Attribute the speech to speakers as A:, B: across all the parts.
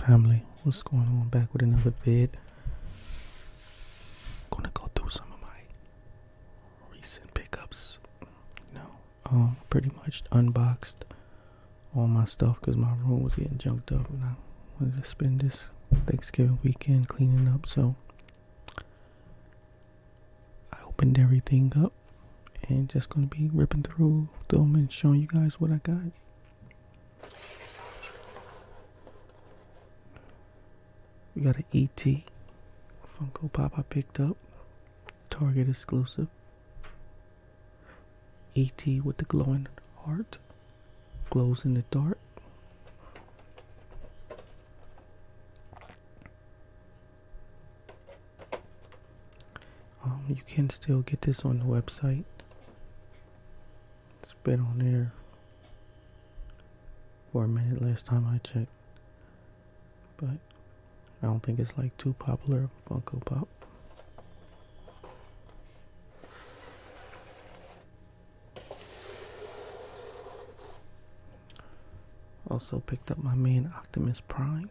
A: Family, what's going on? Back with another vid. Gonna go through some of my recent pickups. No, know, um, pretty much unboxed all my stuff because my room was getting junked up, and I wanted to spend this Thanksgiving weekend cleaning up. So I opened everything up, and just gonna be ripping through them and showing you guys what I got. We got an ET Funko Pop I picked up, Target exclusive. ET with the glowing heart, glows in the dark. Um, you can still get this on the website. It's been on there for a minute last time I checked, but I don't think it's like too popular Funko Pop. Also picked up my main Optimus Prime.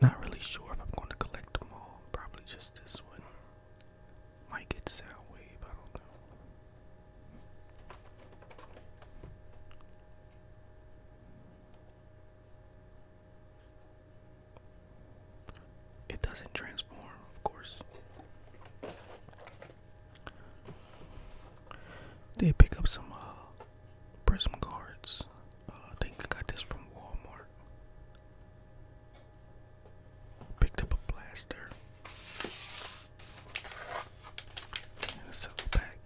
A: Not really sure if I'm going to collect them all. Probably just this one. Might get Soundwave, I don't know. It doesn't transform, of course. They pick up some uh, prism cards. Uh, I think I got this from Walmart. Picked up a blaster and a silver pack.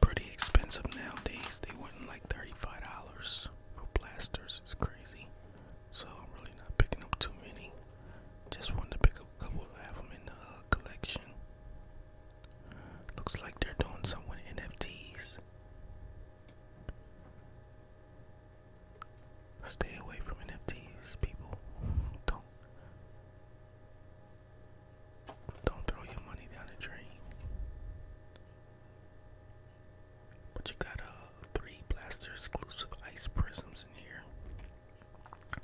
A: Pretty expensive nowadays. They want like $35 for blasters. It's crazy. So I'm really not picking up too many. Just wanted to pick up a couple to have them in the uh, collection. Looks like they're doing some with NFTs. Stay away from NFTs, people. Don't. Don't throw your money down the drain. But you got uh, three blaster exclusive ice prisms in here. I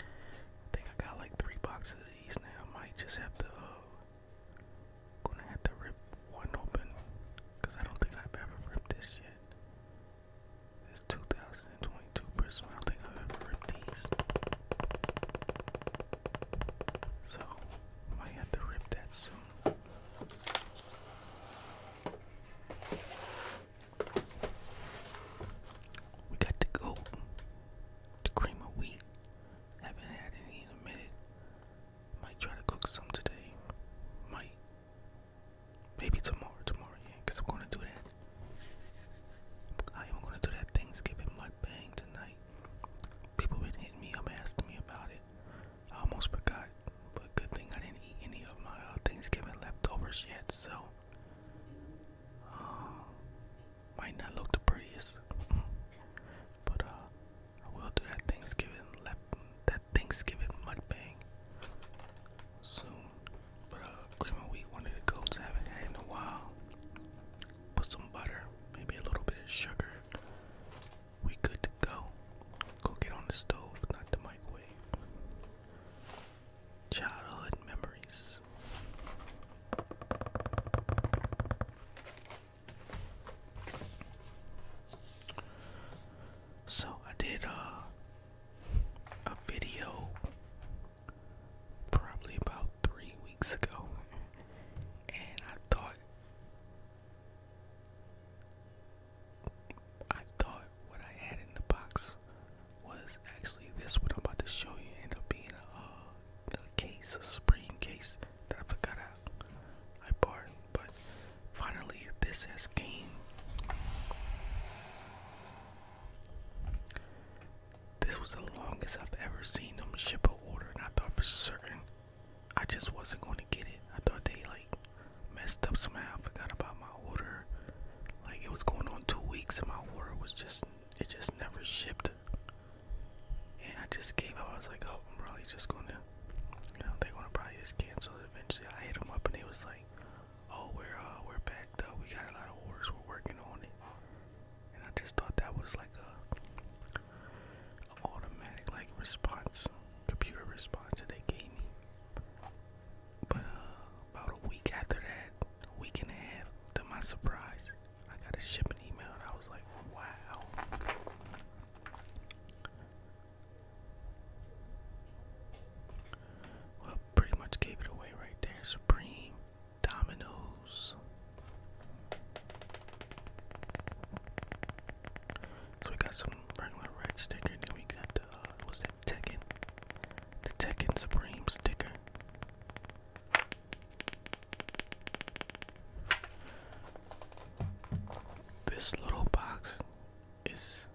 A: think I got like three boxes of these now. I might just have to, uh, gonna have to rip one open because I don't think I've ever ripped this yet. This 2022 prism, I don't think I've ever ripped these. So, might have to rip that soon. We got the goat, the cream of wheat. Haven't had any in a minute. Might try to cook some today. Might. Maybe tomorrow, tomorrow, yeah, I'm going to do that. I am going to do that Thanksgiving mukbang tonight. People been hitting me asking me about it. I almost forgot, but good thing I didn't eat any of my uh, Thanksgiving leftovers yet, so um, might not look the prettiest. but uh, I will do that Thanksgiving left that Thanksgiving mukbang soon. But cream uh, and wheat, one of the goats haven't had in a while. Put some butter, maybe a little bit of sugar. We good to go. Cook it on the stove, not the microwave. Childhood memories. So I did uh, a video probably about three weeks ago, and I thought I thought what I had in the box was actually this. What I'm about to show you ended up being a, case, a spring case that I forgot I, I bought, but finally this has came. This was the longest I've ever seen them ship a order, and I thought for certain I just wasn't going to get it. I thought they like messed up somehow. I forgot about my order. Like it was going on two weeks, and my order was just it just never shipped. And I just gave up. I was like, oh, I'm probably just gonna, you know, they're gonna probably just cancel it eventually. I hit them up, and they was like, oh, we're uh, we're backed up. We got a lot of orders. We're working on it and I just thought that was like a, automatic like response, computer response that they gave me. But uh, about a week after that, a week and a half, to my surprise, I got a shipping email, and I was like, wow. Well, pretty much gave it away right there. Supreme dominoes. So we got some regular red sticker, and we got the uh, that Tekken? The Tekken Supreme sticker. This little box is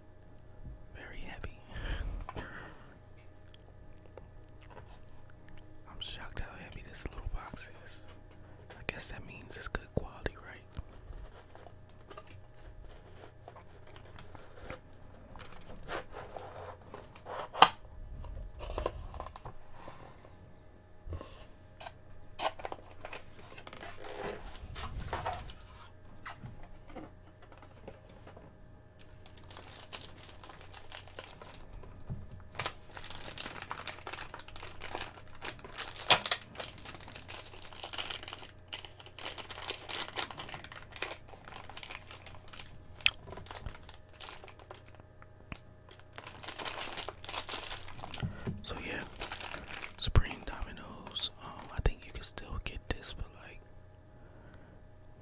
A: very heavy. I'm shocked how heavy this little box is. I guess that means it's good quality, right? So yeah, Supreme Dominoes. Um, I think you can still get this for like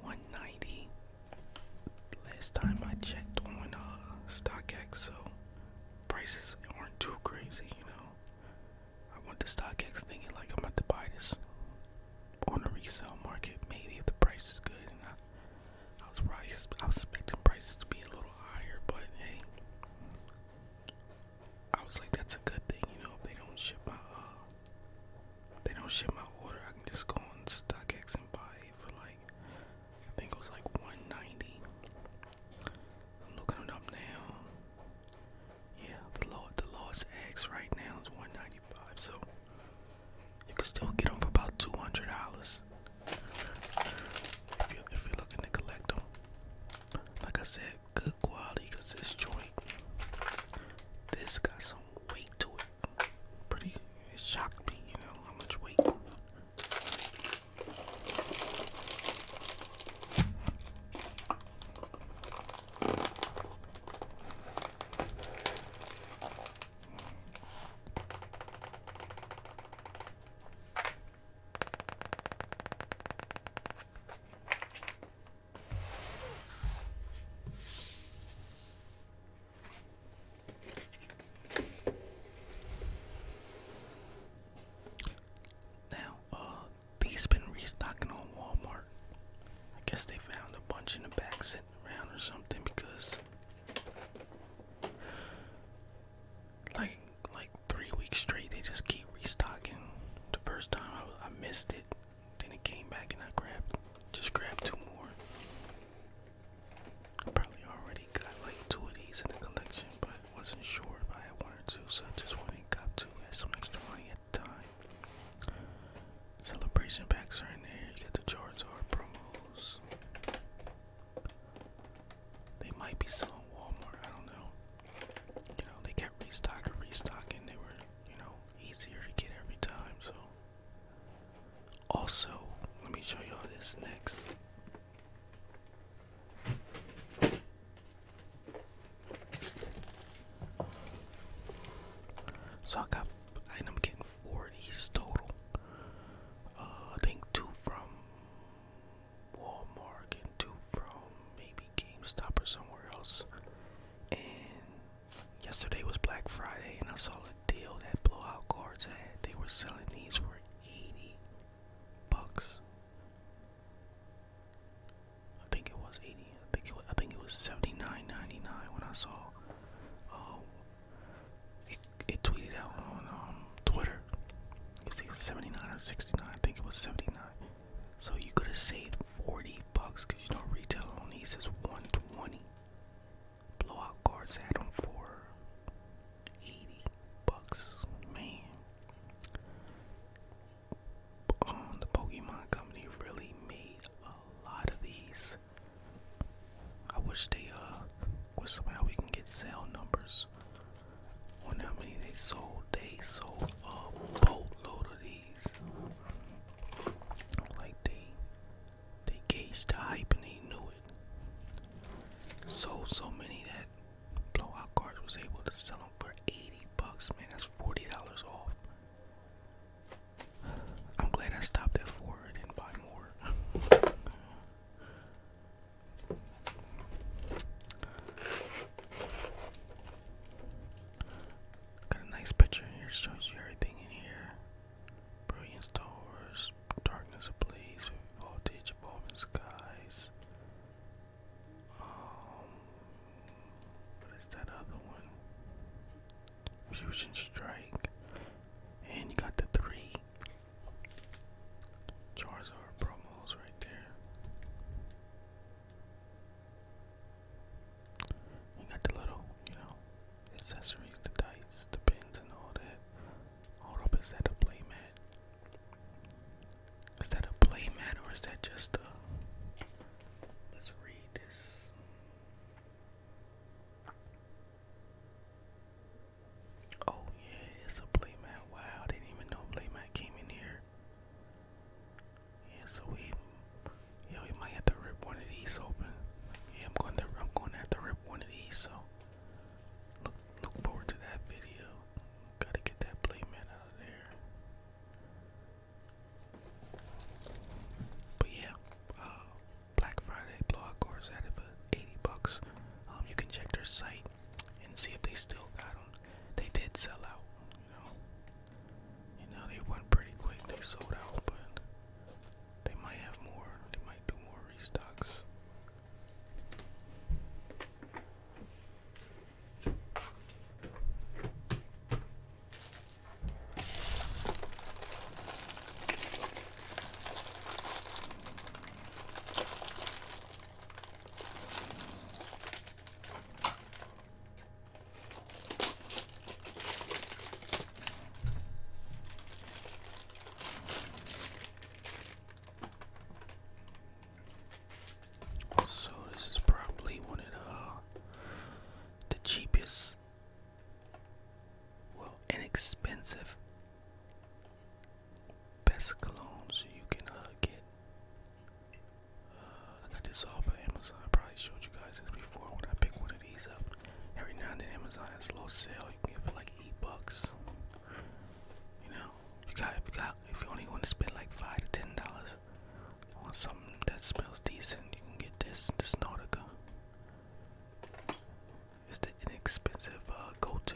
A: 190 last time I checked on uh, StockX, so prices aren't too crazy, you know. I went to StockX thinking like I'm about to buy this on the resale market, maybe if the price is good. And I, was probably I was expecting prices to be a little higher, but hey, I was like that's a good thing, you know. If they don't ship my uh, they don't ship my order, I can just go on StockX and buy for like I think it was like 190. I'm looking it up now. Yeah, the Lord, the Lord's X right now is 195. So you can still get them for about 200 dollars if you're looking to collect them. Like I said, good quality because this joint, this got some weight to it pretty, it shocked me, you know, how much weight. Now, uh, these been restocking on Walmart. I guess they found a bunch in the back sitting around or something because like like three weeks straight they just keep restocking. The first time I, I missed it. Then it came back and I grabbed, just grabbed two more. probably already got like two of these in the collection, but wasn't sure if I had one or two, so I just went and got two. I some extra money at the time. Celebration packs are in there. You got the Charizard promos. They might be still on Walmart. I don't know. You know, they kept restocking, restocking. They were, you know, easier to get every time, so also, let me show y'all this next. So I got, I ended up getting four of these total. Uh, I think two from Walmart and two from maybe GameStop or somewhere else. And Yesterday was Black Friday, and I saw a deal that Blowout Cards had. They were selling these for 80 bucks. I think it was 80. I think it was, I think it was 79.99 when I saw. Uh, it, tweeted out on um, Twitter. It was 79 or 69. I think it was 79. So you could have saved 40 bucks because you know retail on these is 120. Blowout cards had them for 80 bucks. Man. Um, the Pokemon Company really made a lot of these. I wish they, uh, was somehow we can get sale numbers on how many they sold. They sold a boatload of these. Like they they gauged the hype and they knew it. Sold so many that Blowout Cards was able to sell them for 80 bucks, man. That's $40 off. I'm glad I stopped at four and didn't buy more. Got a nice picture here, shows you everything in here. Brilliant stars, darkness ablaze, voltage evolving skies. Um, what is that other one? Fusion strike, and you got the three Charizard promos right there. You got the little, you know, accessories, the dice, the pins, and all that. Hold up, is that a playmat? Is that a playmat or is that just a. Let's read this. Oh, yeah, it's a playmat. Wow, I didn't even know playmat came in here. Yeah, so we, yeah, we might have to rip one of these open. Yeah, I'm going to, I'm going to have to rip one of these. So look, look forward to that video. Gotta get that playman out of there. But yeah, uh, Black Friday blog course at it 80 bucks. Um, you can check their site and see if they still got them. They did sell out, you know they went pretty quick. They sold out, but they might have more. They might do more restocks. So this is probably one of uh, the, cheapest, well, inexpensive, best colognes you can uh, get. Uh, I got this off of Amazon. I probably showed you guys this before when I picked one of these up. Every now and then Amazon has a low sale. You can get it for like eight bucks. You know, you got if you got if you only want to spend like five to ten dollars on something that smells decent, you can get this this Nautica. It's the inexpensive uh, go-to.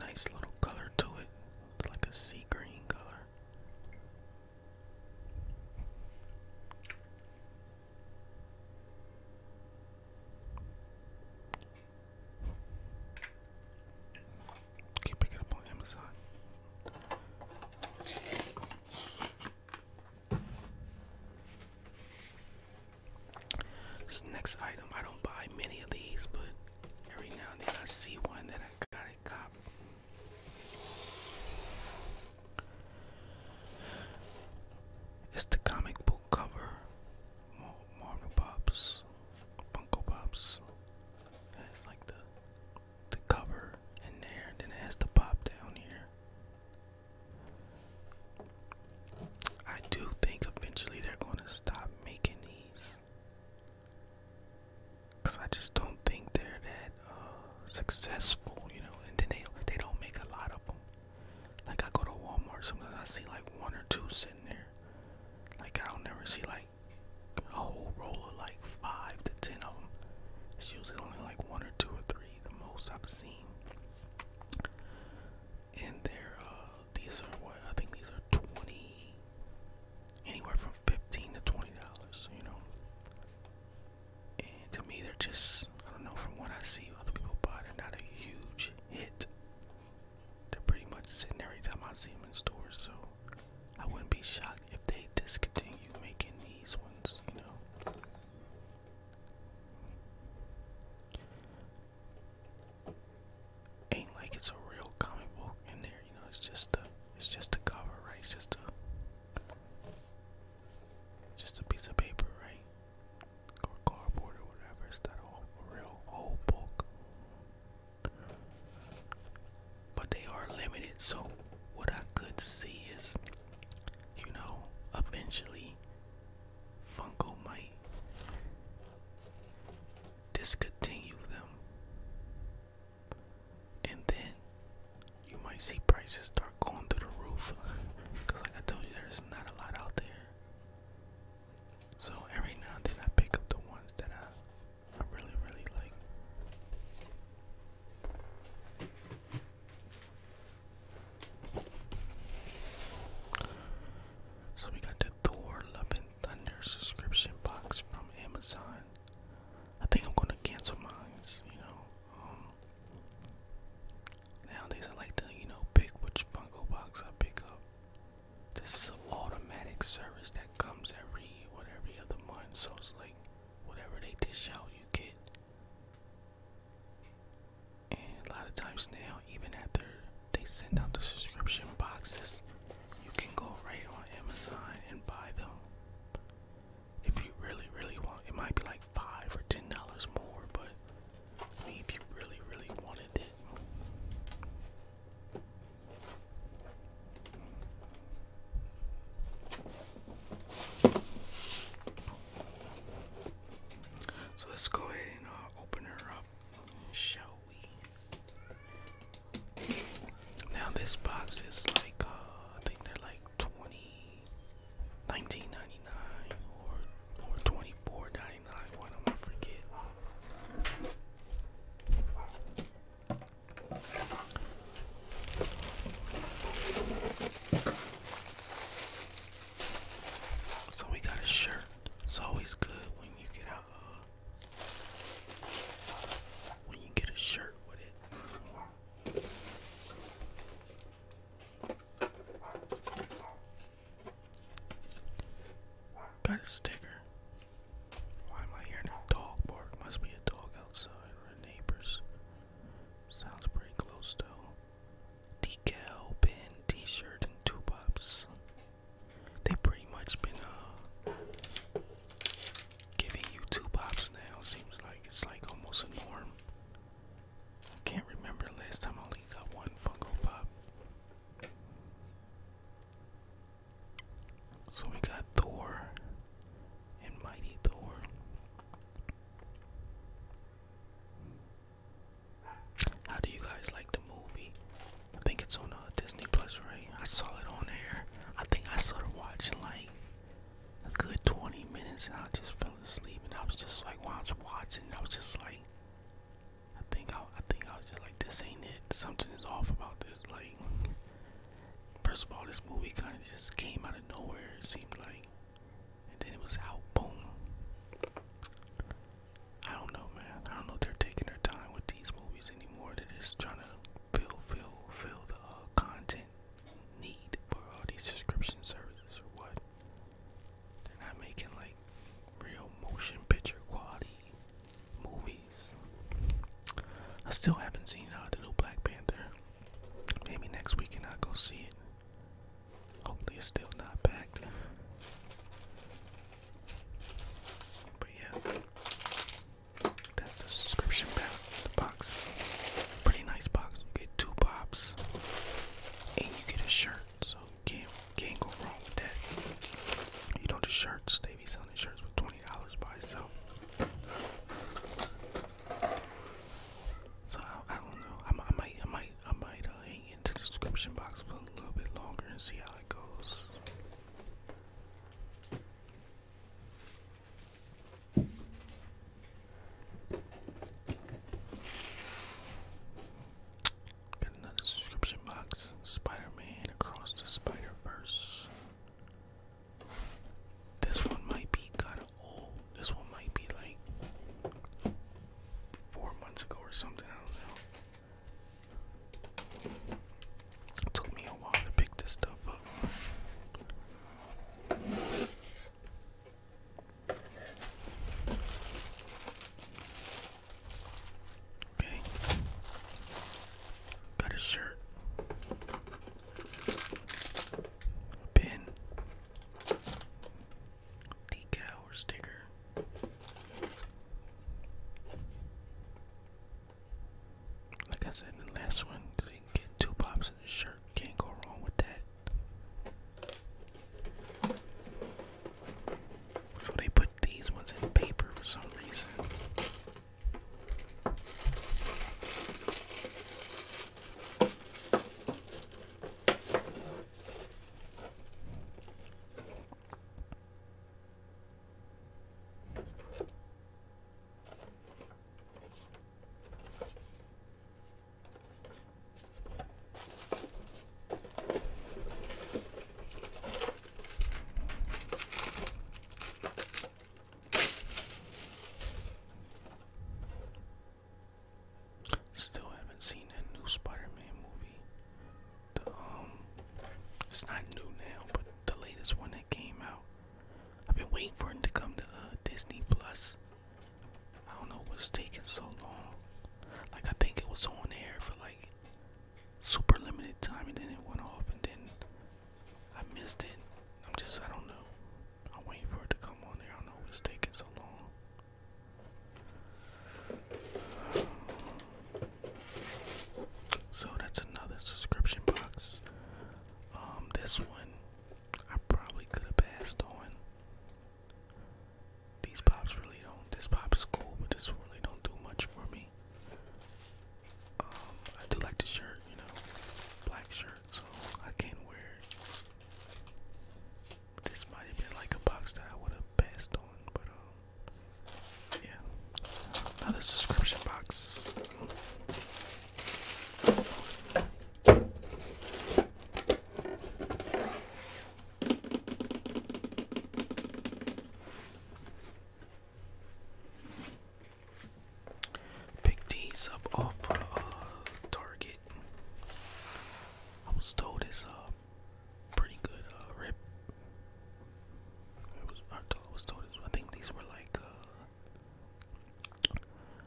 A: Nice little color to it. It's like a sea green color. Can't pick it up on Amazon. This next item, I don't buy many of these, but every now and then I see one that I got it cop. It's the comic book cover. Marvel Pops, Funko Pops. It's like the the cover in there, then it has the pop down here. I do think eventually they're gonna stop making these. Cause I just don't think they're that uh, successful, you know, and then they they don't make a lot of them. Like I go to Walmart, sometimes I see like one or two sitting there. Like I don't never see like a whole roll of like five to ten of them. It's usually only like one or two or three, the most I've seen. And they're uh, these are what I think these are twenty, anywhere from fifteen to twenty dollars. You know, and to me, they're just, I don't know, from what I see, other people buy, they're not a huge hit. They're pretty much sitting every time I see them in stores, so I wouldn't be shocked if they discontinue making these ones, you know. Ain't like it's a real comic book in there, you know. It's just a, it's just a cover, right? It's just a just a piece of paper, right? Or cardboard or whatever. It's not a real whole book. But they are limited, so what I could see is, you know, eventually Funko might discontinue them. And then you might see prices start going through the roof because like I told you there's not a lot out there. So every now and then I pick up the ones that I I really really like. So we got the Thor Love and Thunder subscription box from Amazon. I think I'm gonna cancel mine, you know. Um, nowadays, I like to, you know, pick which Funko box I pick up. This is an automatic service that comes every, what, every other month. So it's like, whatever they dish out, you get. And a lot of times now, even after they send out the subscription boxes, you can go right on Amazon and buy them if you really, really want it might be like five or ten dollars more, but I mean if you really, really wanted it. So let's go ahead and uh, open her up, shall we? Now this box is like uh, I think they're like twenty 19.99 or or 24.99. Why do I forget? So we got a shirt. It's always good when you get a uh, when you get a shirt with it. Got a sticker. Why am I hearing a dog bark? Must be a dog outside or a neighbor's. Sounds pretty close though. Decal, pin, t-shirt, and two pops. They pretty much been uh giving you two pops now seems like it's like almost a norm. I can't remember last time I only got one Funko Pop. So we got Thor and Mighty Thor. How do you guys like the movie? I think it's on uh, Disney Plus, right? I saw it on there. I think I started watching like a good 20 minutes and I just fell asleep and I was just like while I was watching I was just like I think I, I think I was just like this ain't it something is off about this like first of all this movie kind of just came out of nowhere it seemed like and then it was out boom I don't know man I don't know if they're taking their time with these movies anymore they're just trying to fill fill fill the uh, content need for all these subscription services or what? They're not making like real motion picture quality movies. I still haven't seen the new Black Panther. Maybe next weekend I'll go see it. Hopefully it's still not packed. But yeah, that's the subscription box box. Pretty nice box. You get two pops and you get a shirt. So can't can't go wrong with that. You know the shirts, they be selling shirts for twenty dollars by itself. So I, I don't know. I, I might I might I might uh, hang into the description box for a little bit longer and see how it goes. Got another subscription box. Spider-Man across the Spider-Verse. This one might be kind of old. This one might be like four months ago or something. I don't know. took me a while to pick this stuff up. Okay. Got a shirt. pin. Decal or sticker. Like I said the last one, you get two pops in the shirt. Can't go wrong with that. So they put these ones in paper for some reason. Still haven't seen that new Spider-Man movie. The um, it's not new now, but the latest one that came out. I've been waiting for him to come to uh, Disney Plus. I don't know what's taking so long. Like I think it was on air for like super limited time and then it went off and then I missed it. I'm just I don't know. I'm waiting for it to come on there. I don't know what's taking so long. So that's another subscription box. Um, this one I probably could have passed on. These pops really don't. This pop is cool, but this really don't do much for me. Um, I do like the shirt, you know, black shirt, so I can not wear it. This might have been like a box that I would have passed on, but um, yeah. Another subscription box. Pick these up off uh, uh, Target. I was told it's a uh, pretty good uh, rip. It was I, was told it was, I think these were like uh,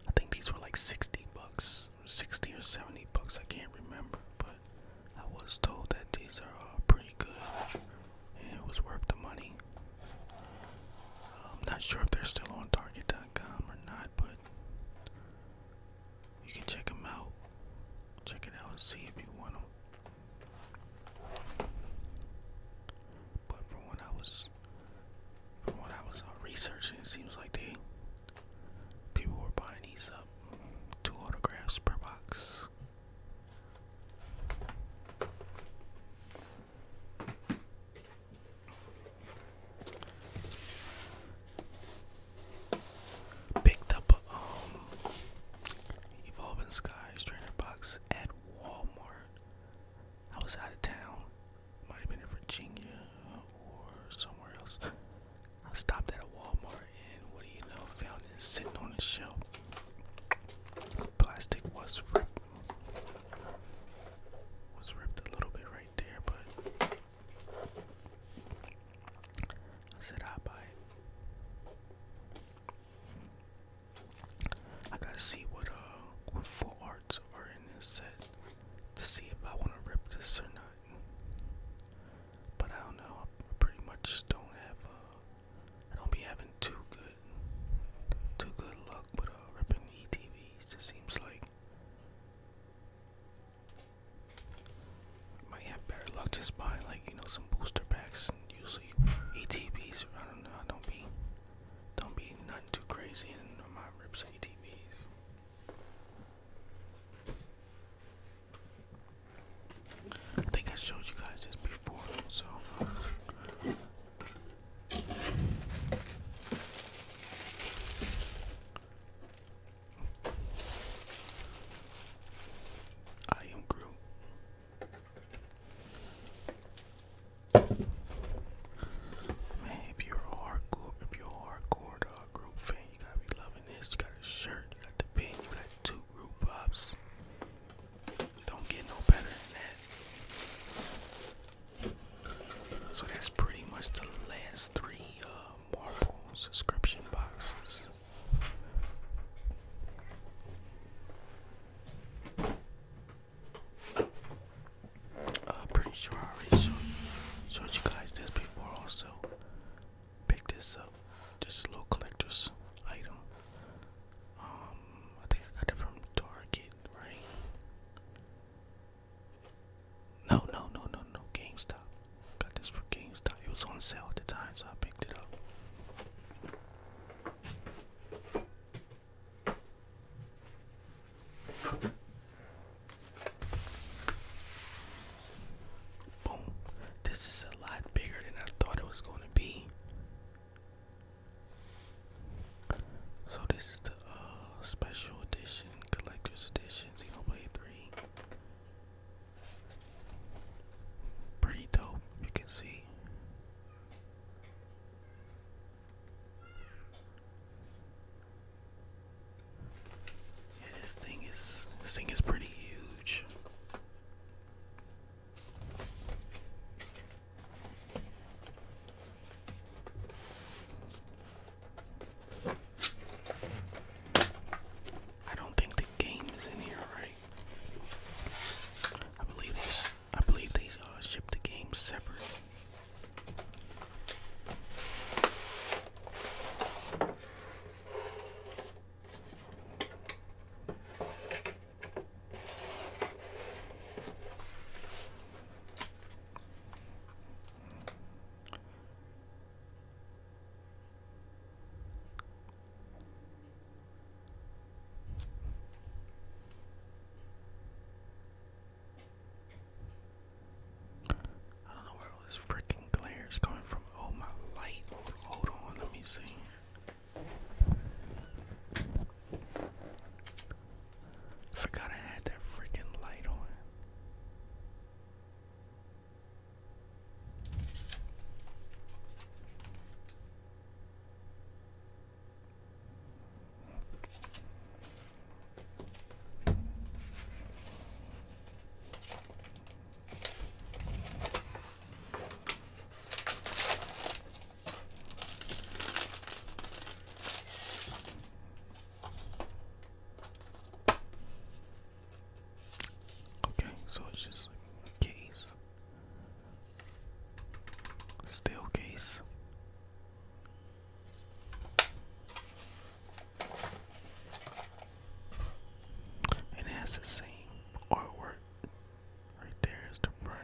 A: I think these were like 60 bucks, 60 or 70 bucks, I can't remember, but I was told that these are all uh, pretty good and it was worth the money. I'm not sure if they're still on Target.com or not, but you can check them out. Check it out and see if you want them. But from what I was from what I was uh, researching, it seems like they people were buying these up two autographs per box. Picked up a um, Evolving Skies trainer box at Walmart. I was out of town. Might have been in Virginia or somewhere else. I stopped at a Walmart and what do you know, found it sitting on the shelf. plastic was ripped. Was ripped a little bit right there, but I said I'll buy it. I gotta see what uh what full arts are in this set to see if I wanna rip this or not. But I don't know. I pretty much don't have a. Uh, don't be having too good too good luck with uh ripping ETVs. It seems like might have better luck just buying like you know some booster packs and usually ETBs. I don't know. I don't be don't be nothing too crazy in my rips ATVs. I think I showed you guys this before, so I am Groot. Man, if you're a hardcore, if you're a hardcore group fan, you gotta be loving this. You got a shirt, you got the pin, you got two group pops. Don't get no better than that. So that's pretty much the last three uh, Marvel subscription boxes. I'm uh, pretty sure I already showed, showed you guys this before. Also, picked this up, just a little collector's item. Um, I think I got it from Target, right? No, no, no, no, no. GameStop. Got this from GameStop. It was on sale at the time, so I picked it up. Boom. This is a lot bigger than I thought it was going to be. So this is the uh, special edition, collector's edition, Xenoblade 3. Pretty dope, you can see. Yeah, this thing is this thing is pretty huge. I don't think the game is in here, right? I believe this I believe they uh, shipped the game separate. I don't know where all this freaking glare coming from. Oh, my light. Hold on, let me see. forgot I had that freaking light on. Okay, so it's just a case Staircase. case. it has the same artwork. Right there is the front.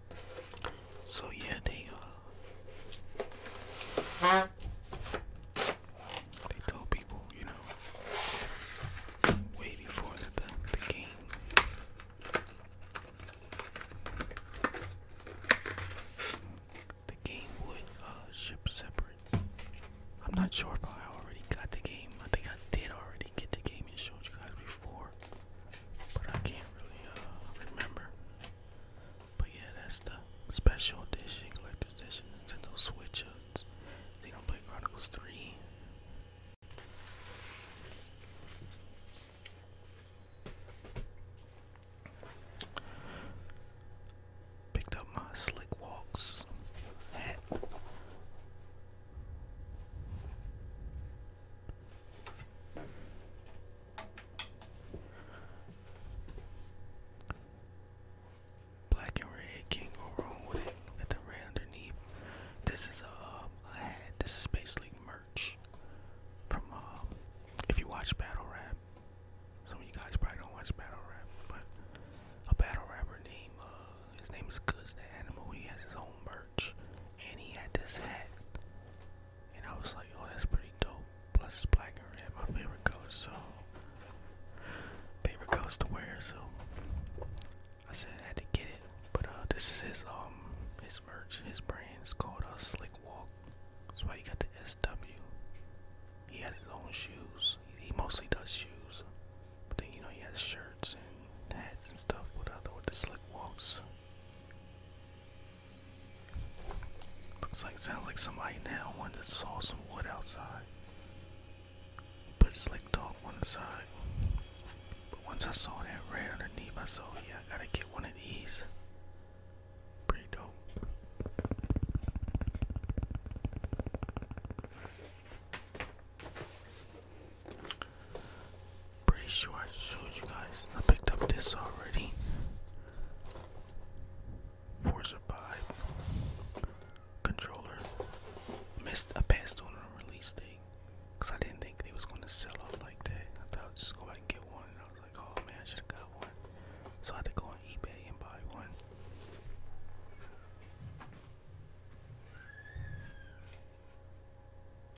A: So yeah, they uh they told people, you know, way before the the game. The game would uh, ship separate. I'm not sure if I already got the game. I think I did already get the game and showed you guys before, but I can't really uh, remember. But yeah, that's the special edition, collector's edition, Nintendo Switch ups, Xenoblade Chronicles 3. Picked up my Slick Walks hat. Black and red can't go wrong with it. Got the red underneath. This is a, um, a hat. This is basically merch from um, if you watch battle rap. Some of you guys probably don't watch battle rap, but a battle rapper named uh, his name is Goods the Animal. He has his own merch, and he had this hat and I was like, oh, that's pretty dope. Plus, it's black and red, my favorite color, so favorite colors to wear. So I said I had to get it. But uh, this is his um his merch, his brand. It's called uh, Slick Walk. That's why you got the SW. He has his own shoes. He, he mostly does shoes, but then you know he has shirts and hats and stuff with other uh, with the Slick Walks. Looks like sounds like somebody now wanted to saw some wood outside. Put slick dog one aside. But once I saw that right underneath, I saw yeah, I gotta get one of these. Pretty dope. Pretty sure I showed you guys. I picked up this already. Forza Vibe controller. Missed a past on release date because I didn't think they was gonna sell out like that. I thought just go back and get one. I was like, oh man, I should have got one. So I had to go on eBay and buy one.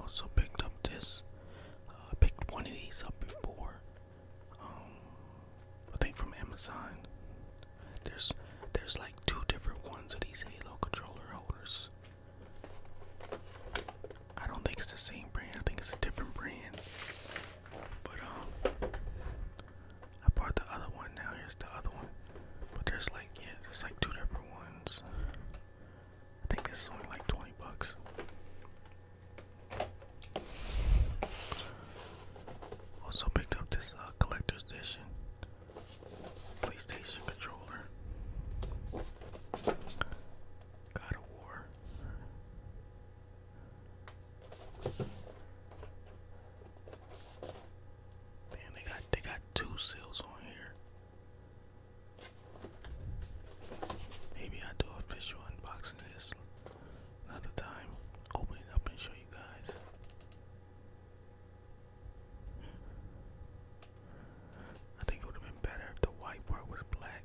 A: Also picked up this. Uh, I picked one of these up before. Um, I think from Amazon. There's there's like two different ones of these Halo controller holders. I don't think it's the same brand. I think it's a different brand. But um, I bought the other one. Now here's the other one. But there's like yeah, there's like two different ones. I think this is only like twenty bucks. Also picked up this uh, collector's edition PlayStation controller. God of War. Man, they got they got two seals on here. Maybe I do official unboxing this another time. Open up and show you guys. I think it would have been better if the white part was black.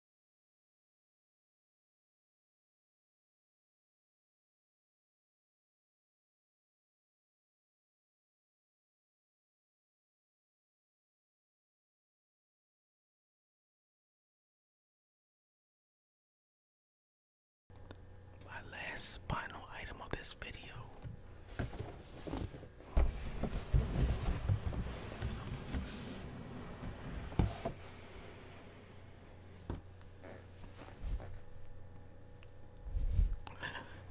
A: My last final item of this video.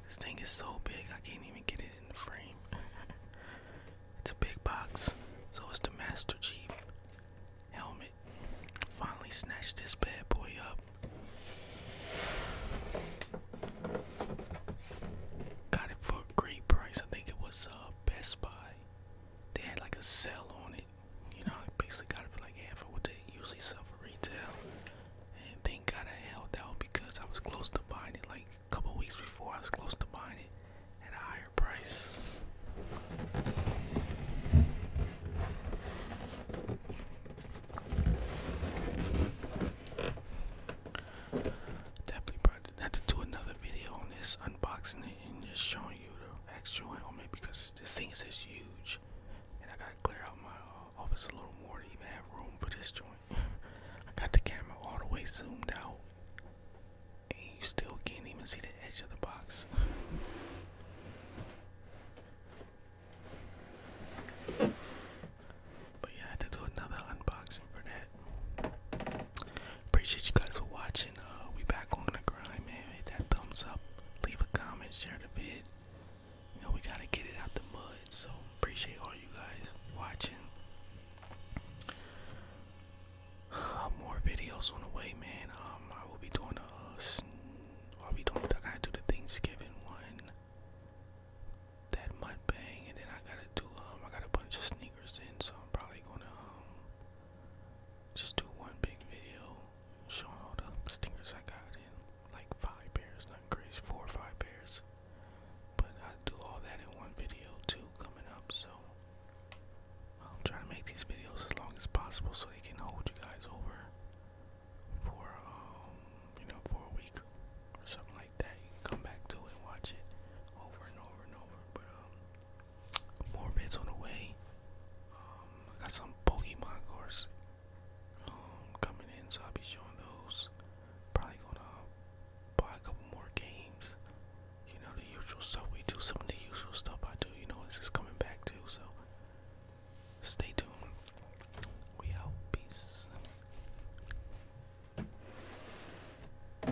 A: This thing is so big, I can't even get it in the frame. it's a big box, so it's the Master Chief helmet. Finally, snatched this bad boy up. Got it for a great price. I think it was uh, Best Buy. They had like a sale on it you know, I basically got it for like half of what they usually sell for retail. And thank God I held out because I was close to buying it like a couple weeks before. I was close to buying it at a higher price. Definitely brought had to do another video on this unboxing just showing you the actual helmet because this thing is just huge and I gotta clear out my uh, office a little more to even have room for this joint. I got the camera all the way zoomed out and you still can't even see the edge of the box. But yeah, I had to do another unboxing for that. Appreciate you guys for watching. Uh, we back on the grind, man. Hit that thumbs up, leave a comment, share the vid. You know we gotta get it out the mud. So appreciate all you guys watching. Uh, more videos on the way, man. Um, I will be doing a. Uh, I'll be doing. I gotta do the Thanksgiving one. That mud bang, and then I gotta do. Um, I got a bunch of sneakers in, so I'm probably gonna um, just do one big video showing all the stickers I got in like five pairs, nothing crazy, four or five pairs. But I do all that in one video too coming up, so I'm trying to make these videos as long as possible so they can hold you guys over for um, you know for a week or something like that. You can come back to it and watch it over and over and over. But um more bids on the way. Um, I got some Pokemon cards um, coming in, so I'll be showing those. Probably gonna buy a couple more games. You know, the usual stuff we do, some of the usual stuff I do, you know, this is coming back too, so stay tuned. We out. Peace.